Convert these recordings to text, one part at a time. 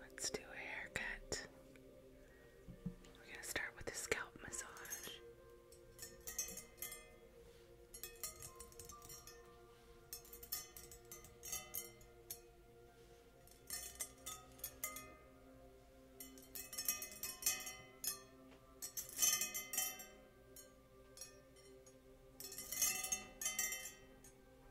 Let's do a haircut. We're going to start with a scalp massage.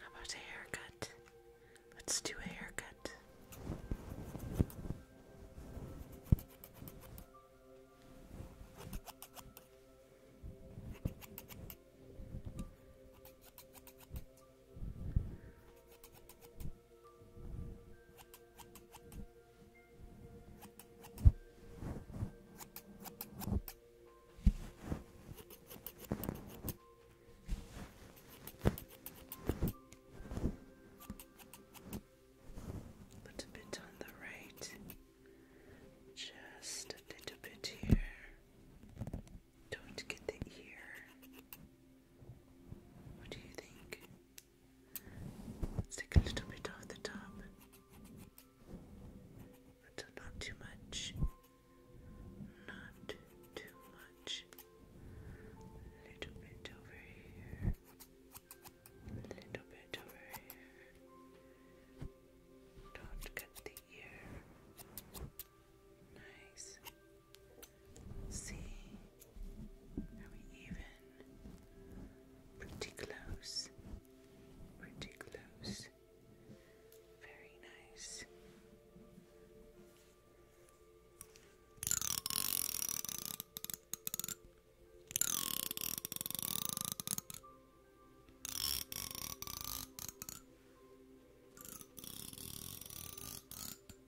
How about a haircut? Let's do a haircut. Put a bit on the right, just a little bit here. Don't get the ear. What do you think? let take a little bit off the top, but not too much. Not too much. A little bit over here. A little bit over here. Don't cut the ear. Nice. See, are we even? Pretty close. Pretty close. Very nice.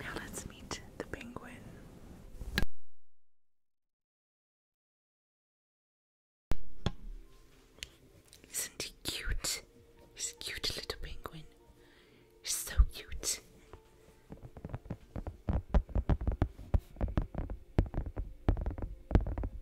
Now let's meet the penguin. Isn't he cute? He's a cute little penguin. He's so cute.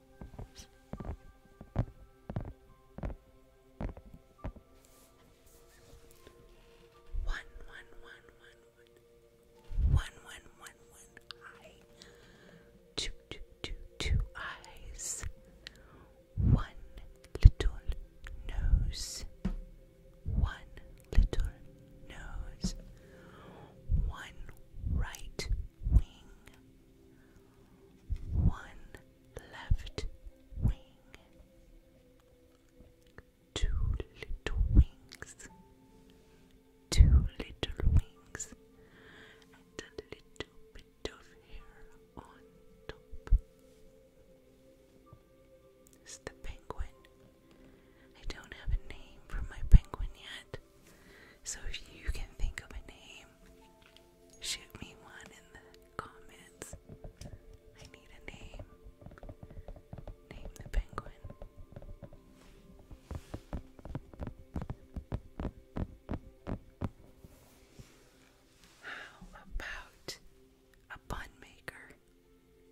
One, one, one, one, one. One, one, one, one eye. Two, two, two, two eyes. One little nose. One little nose. One right wing one left wing, two little wings, two little wings, and a little bit of hair on top. It's the penguin. I don't have a name for my penguin yet. So if you can think of a name, shoot me one in the comments. I need a name. Name the penguin. How about a bun maker?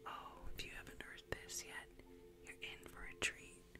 Oh, if you haven't heard this yet, you're in for a treat.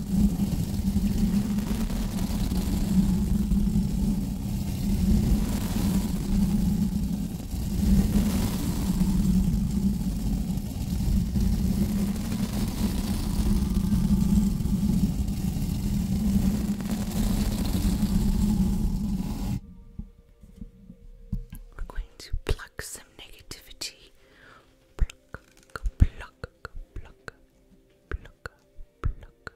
We're going to pluck some negativity. Pluck, go pluck, pluck, pluck,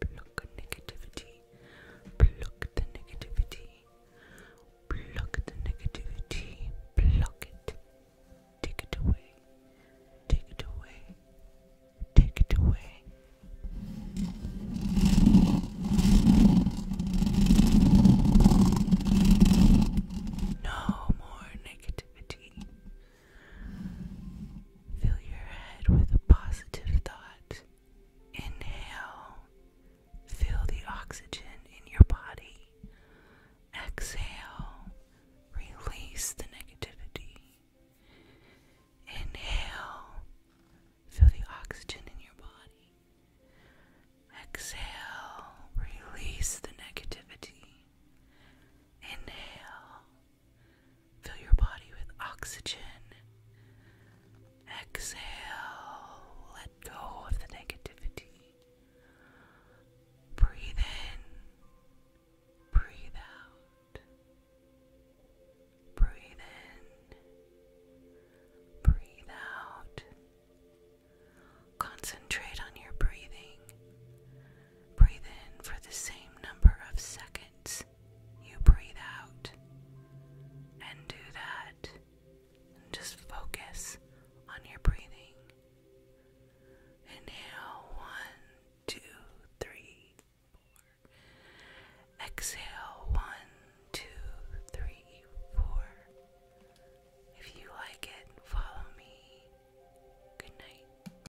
pluck negativity, pluck the negativity, pluck the negativity, pluck it, take it away, take it away, take it away. No more negativity. Fill your head with a positive thought. Inhale, feel the oxygen in your body. Exhale, release the negativity. Inhale, feel the oxygen in your body. Exhale, release the negativity. Inhale, Fill your body with oxygen. Exhale, let go of the negativity. Breathe in, breathe out. Breathe in, breathe out. Concentrate on your breathing. Breathe in for the same number of seconds you breathe out. And do that. And just focus on your breathing. Inhale one, two, three, four. Exhale one, two, three, four. If you like it, follow me. Good night.